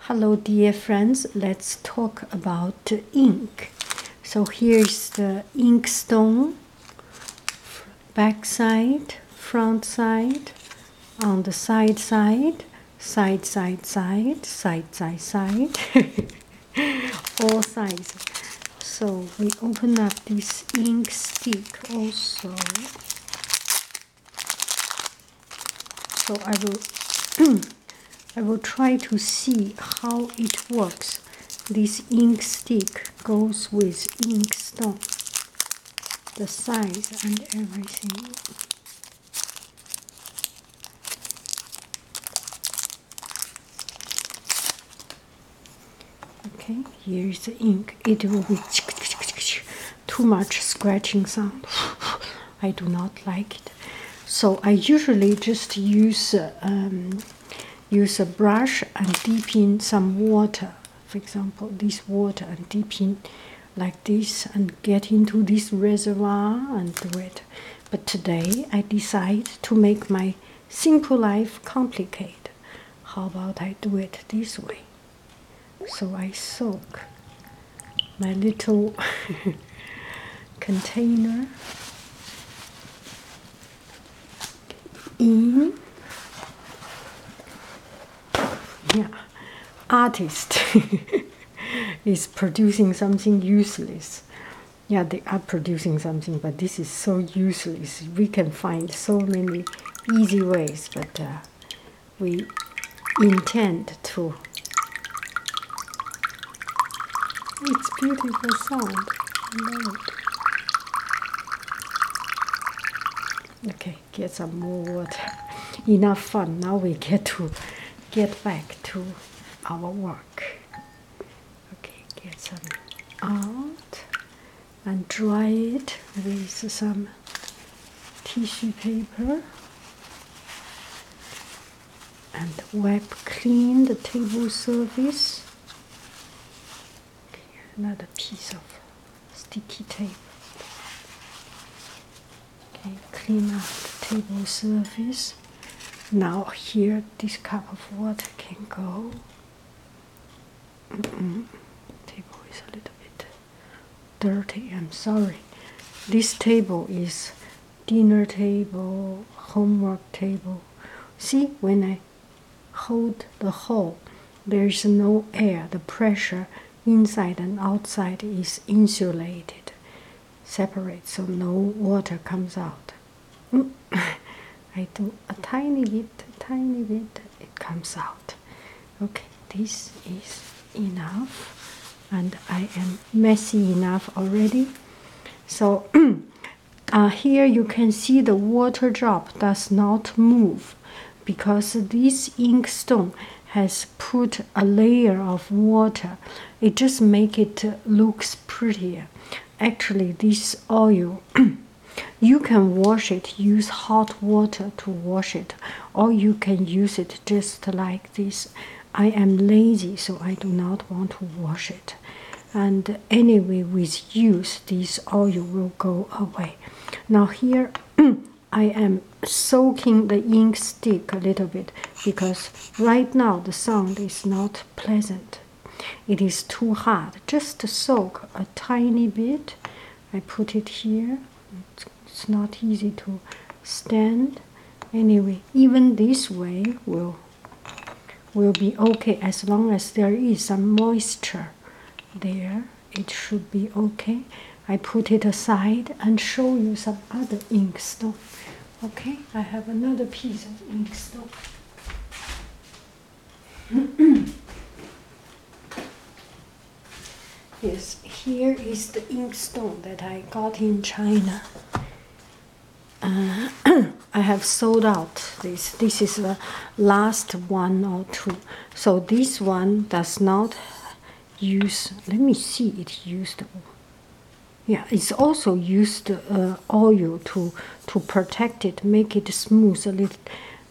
Hello dear friends, let's talk about ink. So here's the ink stone, back side, front side, on the side side, side side side, side side side, all sides. So we open up this ink stick also. So I will, I will try to see how it works. This ink stick goes with ink stone, the size and everything. Okay, here's the ink. It will be too much scratching sound. I do not like it. So I usually just use um, use a brush and dip in some water. For example, this water and dip in like this and get into this reservoir and do it. But today I decide to make my simple life complicated. How about I do it this way? So I soak my little container in yeah artist is producing something useless yeah they are producing something but this is so useless we can find so many easy ways but uh, we intend to. It's beautiful sound. I love it. Okay, get some more water. Enough fun. Now we get to get back to our work. Okay, get some out and dry it with some tissue paper and wipe clean the table surface. Another piece of sticky tape. Okay, clean up the table surface. Now here, this cup of water can go. Table is a little bit dirty. I'm sorry. This table is dinner table, homework table. See, when I hold the hole, there is no air. The pressure inside and outside is insulated, separate, so no water comes out. Mm. I do a tiny bit, tiny bit, it comes out okay this is enough and i am messy enough already so uh, here you can see the water drop does not move because this ink stone has put a layer of water it just make it looks prettier actually this oil you can wash it use hot water to wash it or you can use it just like this i am lazy so i do not want to wash it and anyway with use this oil will go away now here i am soaking the ink stick a little bit because right now the sound is not pleasant it is too hard just to soak a tiny bit i put it here it's not easy to stand anyway even this way will will be okay as long as there is some moisture there it should be okay i put it aside and show you some other ink stuff okay i have another piece of ink stuff Yes, here is the inkstone that I got in China. Uh, I have sold out this. This is the last one or two. So this one does not use. Let me see. It used. Yeah, it's also used uh, oil to to protect it, make it smooth a little,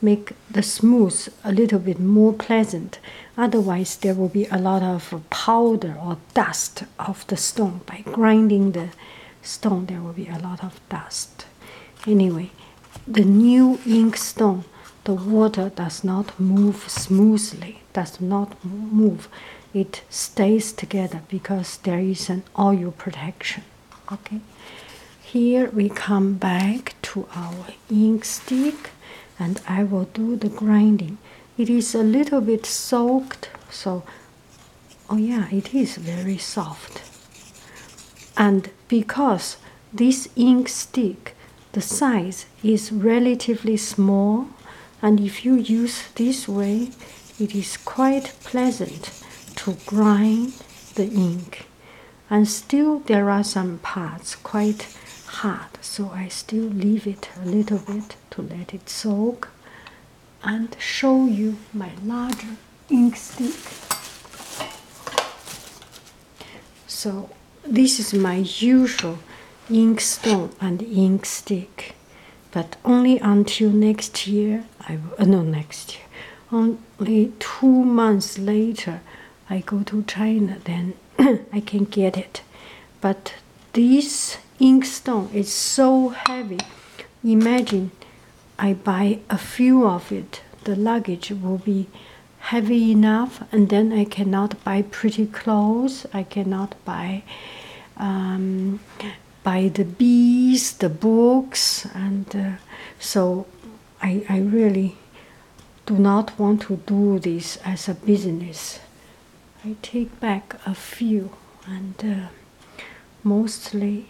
make the smooth a little bit more pleasant. Otherwise, there will be a lot of powder or dust of the stone. By grinding the stone, there will be a lot of dust. Anyway, the new ink stone, the water does not move smoothly, does not move. It stays together because there is an oil protection. Okay, here we come back to our ink stick and I will do the grinding. It is a little bit soaked, so oh, yeah, it is very soft. And because this ink stick, the size is relatively small, and if you use this way, it is quite pleasant to grind the ink and still there are some parts quite hard, so I still leave it a little bit to let it soak and show you my larger ink stick. So, this is my usual inkstone and ink stick, but only until next year. I will, uh, no, next year, only two months later. I go to China, then I can get it. But this inkstone is so heavy. Imagine I buy a few of it. The luggage will be heavy enough, and then I cannot buy pretty clothes. I cannot buy um, buy the bees, the books, and uh, so I, really do not want to do this as a business. I take back a few, and uh, mostly,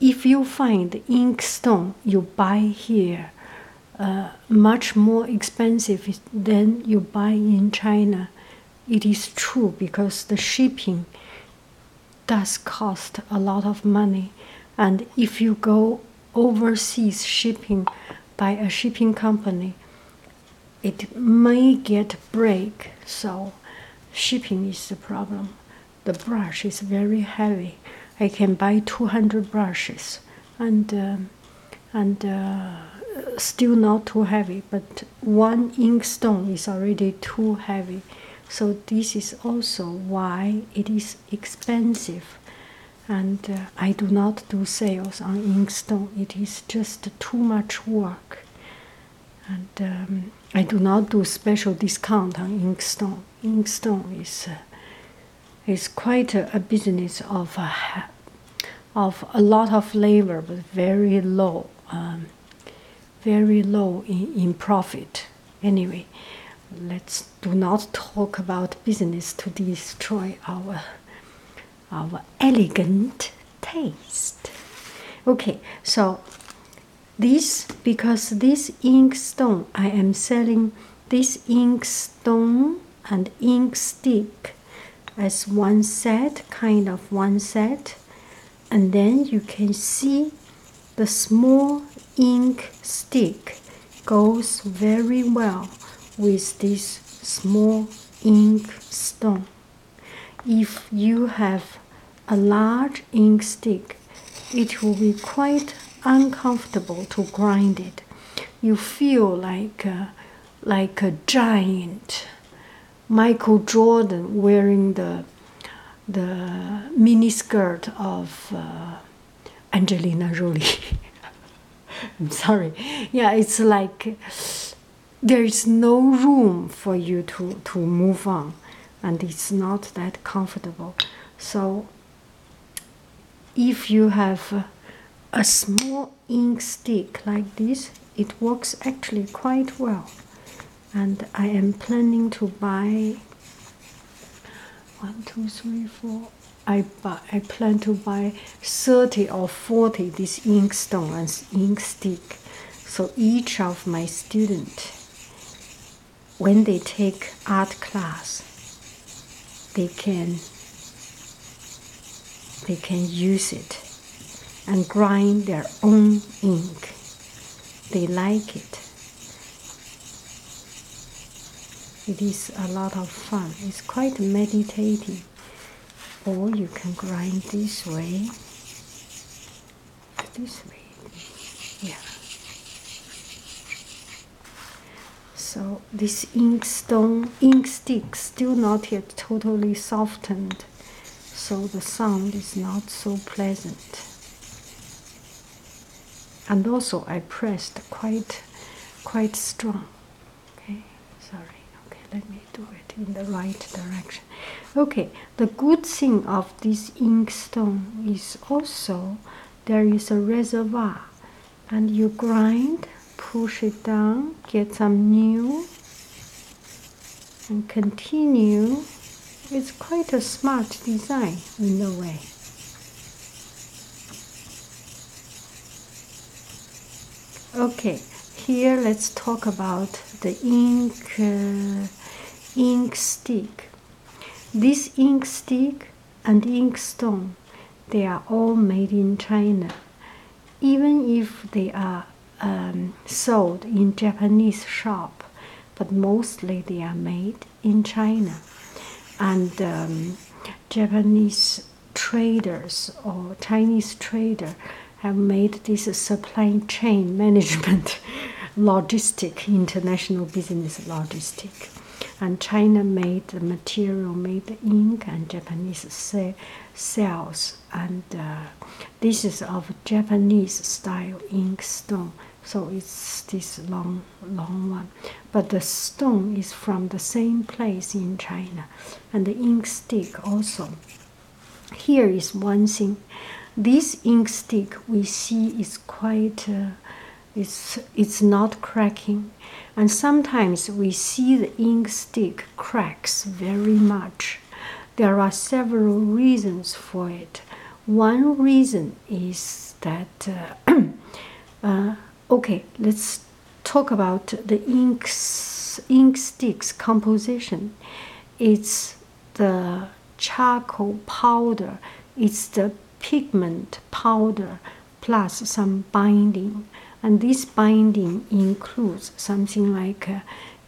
if you find inkstone you buy here uh, much more expensive than you buy in China, it is true because the shipping does cost a lot of money, and if you go overseas shipping by a shipping company, it may get break. So, shipping is the problem. The brush is very heavy. I can buy 200 brushes and um, and uh, still not too heavy. But one inkstone is already too heavy. So this is also why it is expensive, and uh, I do not do sales on inkstone. It is just too much work, and um, I do not do special discount on inkstone. Inkstone is uh, is quite a, business of a, uh, of a lot of labor, but very low. Um, very low in, in profit. Anyway, let's do not talk about business to destroy our our elegant taste. Okay, so this because this ink stone I am selling this ink stone and ink stick as one set, kind of one set, and then you can see the small ink stick goes very well with this small ink stone. If you have a large ink stick, it will be quite uncomfortable to grind it. You feel like a, like a giant. Michael Jordan wearing the the skirt of uh, Angelina Jolie. I'm sorry. Yeah, it's like there is no room for you to to move on, and it's not that comfortable. So, if you have a small ink stick like this, it works actually quite well. And I am planning to buy one, two, three, four, I I plan to buy thirty or forty these inkstone and ink stick, so each of my student, when they take art class, they can they can use it and grind their own ink. They like it. It is a lot of fun. It's quite meditative. Or you can grind this way, this way, yeah. So this inkstone, stone, ink stick still not yet totally softened, so the sound is not so pleasant and also I pressed quite quite strong. Okay, sorry. Okay, let me do it in the right direction. Okay, the good thing of this inkstone is also there is a reservoir, and you grind, push it down, get some new, and continue. It's quite a smart design in a way. Okay, here let's talk about the ink uh, ink stick. This ink stick and ink stone, they are all made in China. Even if they are um, sold in Japanese shop, but mostly they are made in China. And um, Japanese traders or Chinese trader have made this supply chain management logistic, international business logistic. And China made the material, made the ink, and Japanese se cells. And uh, this is of Japanese style ink stone so it's this long, long one. But the stone is from the same place in China, and the ink stick also. Here is one thing. This ink stick we see is quite, uh, it's it's not cracking, and sometimes we see the ink stick cracks very much. There are several reasons for it. One reason is that, uh, uh, okay, let's talk about the inks, ink sticks composition. It's the charcoal powder, it's the pigment powder plus some binding. And this binding includes something like uh,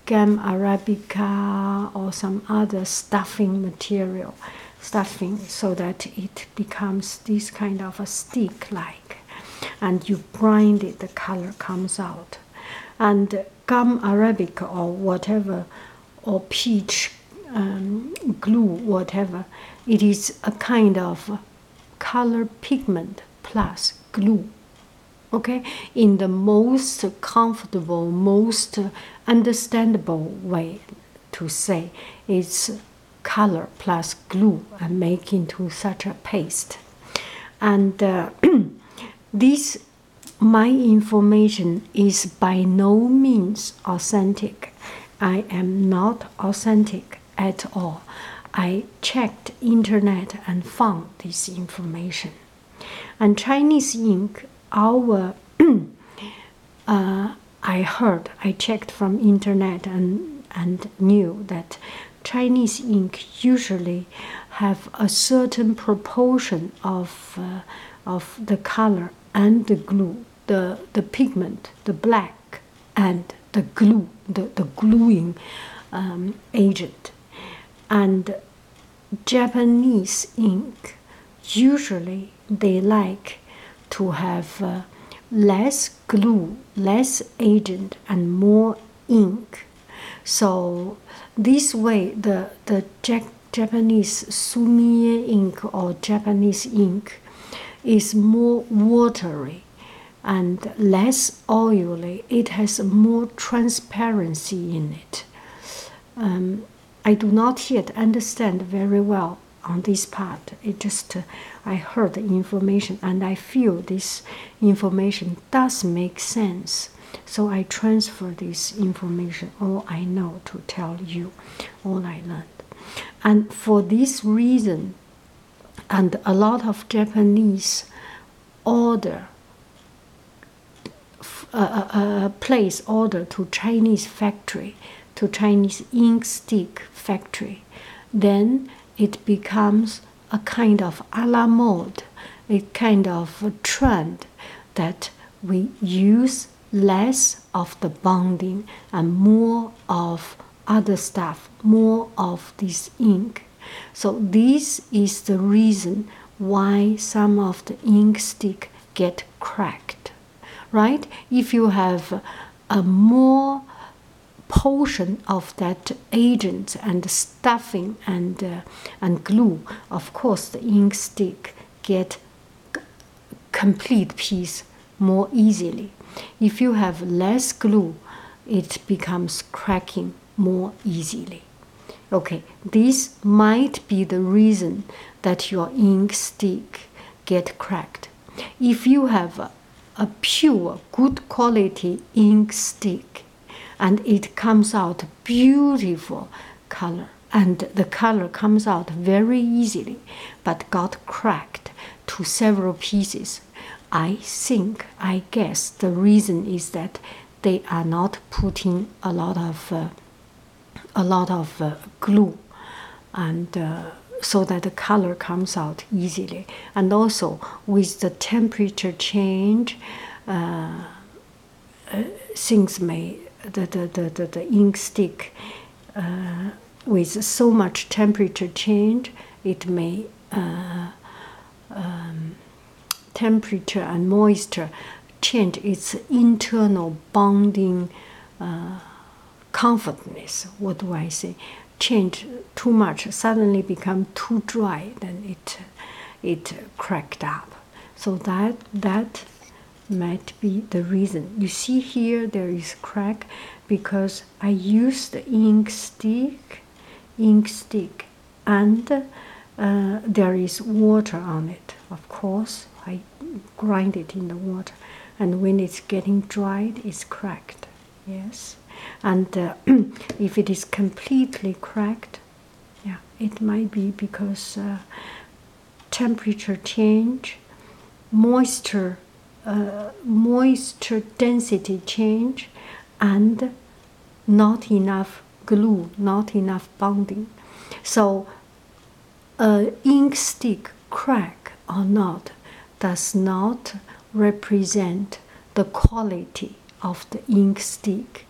gum arabica or some other stuffing material stuffing so that it becomes this kind of a stick like and you grind it the color comes out and gum arabic or whatever or peach um, glue whatever it is a kind of color pigment plus glue okay in the most comfortable most understandable way to say it's color plus glue and make into such a paste and uh, this my information is by no means authentic i am not authentic at all i checked internet and found this information and chinese ink our Uh, I heard, I checked from internet and and knew that Chinese ink usually have a certain proportion of uh, of the color and the glue, the the pigment, the black and the glue, the the gluing um, agent, and Japanese ink usually they like to have uh, less glue, less agent, and more ink. So this way, the the Japanese sumi ink or Japanese ink is more watery and less oily. It has more transparency in it. Um, I do not yet understand very well on this part. It just uh, I heard the information and I feel this information does make sense. So I transfer this information, all I know, to tell you, all I learned. And for this reason, and a lot of Japanese order place order to Chinese factory, to Chinese ink stick factory, then it becomes a kind of a la mode, a kind of trend that we use less of the bonding and more of other stuff, more of this ink. So this is the reason why some of the ink stick get cracked right? If you have a more portion of that agent and stuffing and uh, and glue, of course, the ink stick get complete piece more easily. If you have less glue, it becomes cracking more easily. Okay, this might be the reason that your ink stick get cracked. If you have a, pure, good quality ink stick and it comes out beautiful color and the color comes out very easily but got cracked to several pieces, I think, I guess the reason is that they are not putting a lot of uh, a lot of uh, glue and uh, so that the color comes out easily and also with the temperature change uh, things may the, the, the, the, ink stick with so much temperature change it may um, temperature and moisture change its internal bonding uh, comfortness. What do I say? Change too much, suddenly become too dry, then it it cracked up. So that that might be the reason. You see here there is crack because I used ink stick, ink stick, and uh, there is water on it. Of course, I grind it in the water, and when it's getting dried, it's cracked. Yes, and uh, if it is completely cracked, yeah, it might be because uh, temperature change, moisture, uh, moisture density change, and not enough glue, not enough bonding. So a ink stick crack or not does not represent the quality of the ink stick.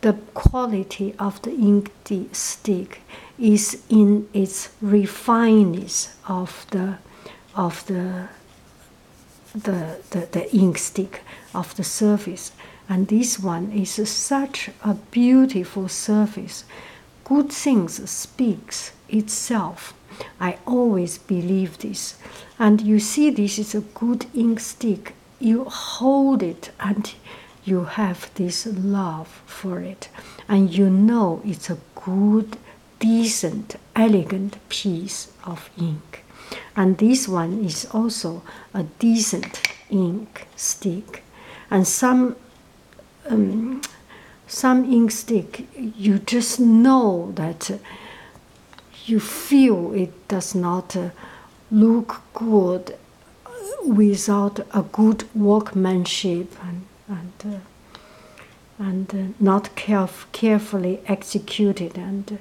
The quality of the ink stick is in its refineness of the of the the, the, ink stick of the surface. And this one is such a beautiful surface. Good things speaks itself. I always believe this. And you see, this is a good ink stick. You hold it and you have this love for it. And you know it's a good, decent, elegant piece of ink. And this one is also a decent ink stick and some um, some ink you just know that uh, you feel it does not uh, look good without a good workmanship and and, uh, not carefully executed and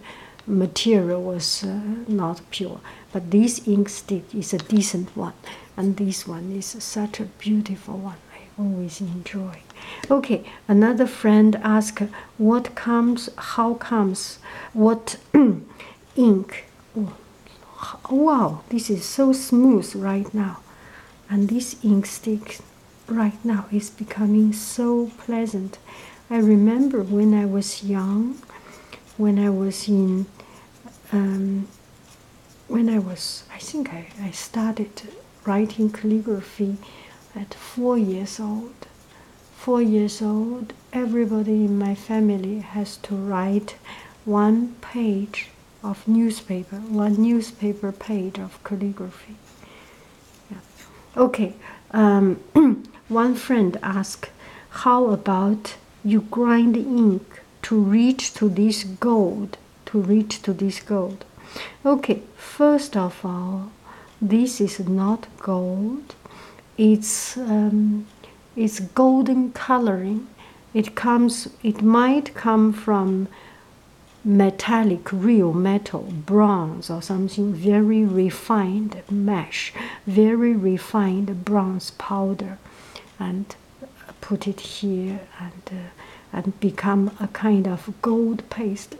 material was not pure. But this ink stick is a decent one, and this one is such a beautiful one. I always enjoy. Okay, another friend asked, "What comes? How comes? What ink?" Oh, wow, this is so smooth right now, and this ink stick right now is becoming so pleasant. I remember when I was young, when I was in um, when I was, I think I, I started writing calligraphy at four years old. Four years old, everybody in my family has to write one page of newspaper, one newspaper page of calligraphy. Yeah. Okay. Um, One friend asked, How about you grind ink to reach to this gold? To reach to this gold. Okay, first of all, this is not gold. It's um, it's golden coloring. It comes. It might come from metallic, real metal, bronze, or something very refined mesh very refined bronze powder and put it here and uh, and become a kind of gold paste.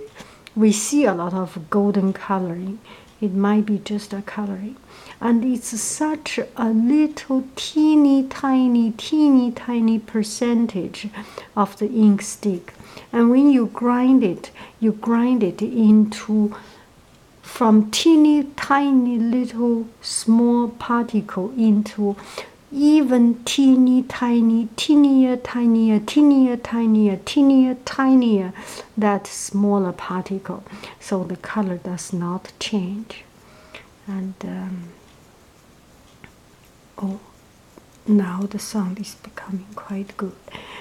We see a lot of golden coloring. It might be just a coloring. And it's such a little teeny tiny, teeny tiny percentage of the ink stick. And when you grind it, you grind it into from teeny tiny little small particle into even teeny tiny, teenier, tinier, teenier, tinier, teenier, tinier, that smaller particle. So the color does not change. And um, oh, now the sound is becoming quite good.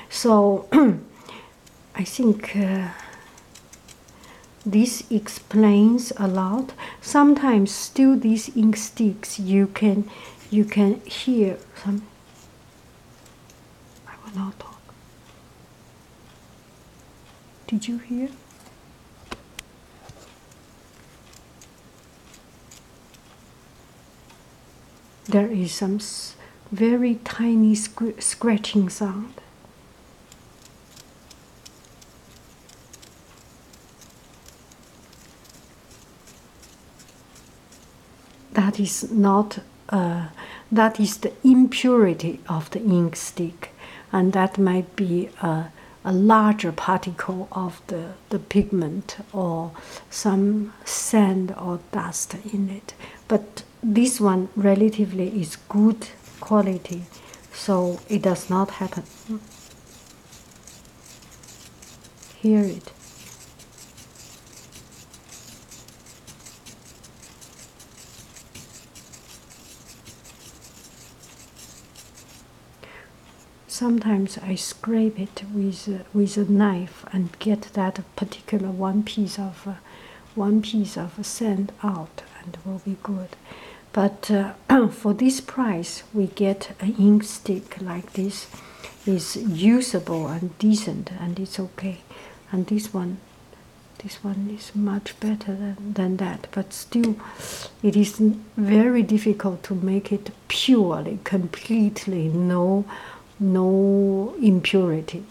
So I think uh, this explains a lot. Sometimes still these ink sticks you can you can hear some I will not talk. Did you hear? There is some very tiny scratching sound. That is not, uh, that is the impurity of the ink stick, and that might be a, a larger particle of the, the pigment or some sand or dust in it. But this one relatively is good quality so it does not happen hear it sometimes I scrape it with with a knife and get that particular one piece of uh, one piece of sand out and will be good. But uh, for this price, we get an ink stick like this. Is usable and decent, and it's okay. And this one, this one is much better than, than that. But still, it is very difficult to make it purely, completely no, no impurity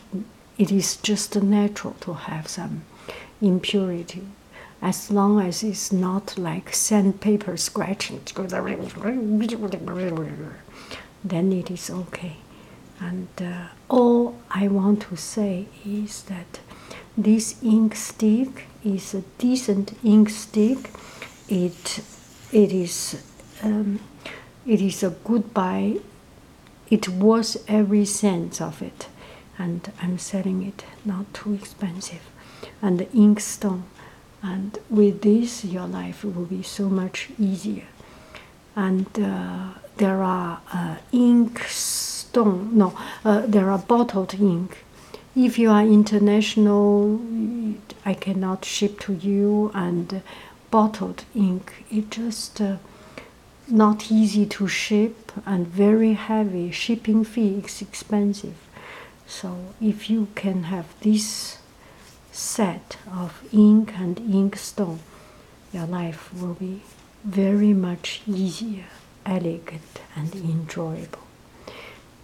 it is just natural to have some impurity as long as it's not like sandpaper scratching then it is okay and uh, all i want to say is that this ink stick is a decent ink stick it it is um, it is a good buy it was every sense of it and i'm selling it not too expensive and the ink stone and with this your life will be so much easier and uh, there are uh, ink stone no uh, there are bottled ink if you are international i cannot ship to you and bottled ink. It just uh, not easy to ship and very heavy. Shipping fee is expensive. So if you can have this set of ink and inkstone, your life will be very much easier, elegant, and enjoyable.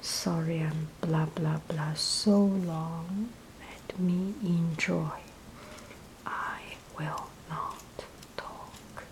Sorry, I'm blah blah blah so long. Let me enjoy. I will not talk.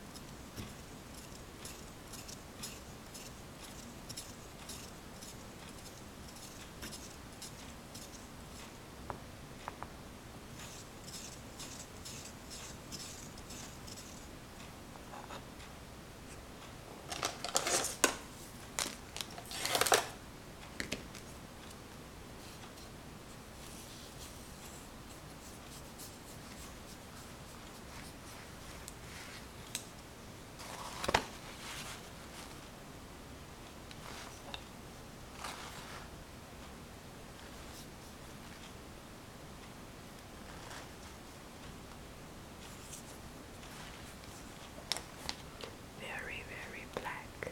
Very, very black.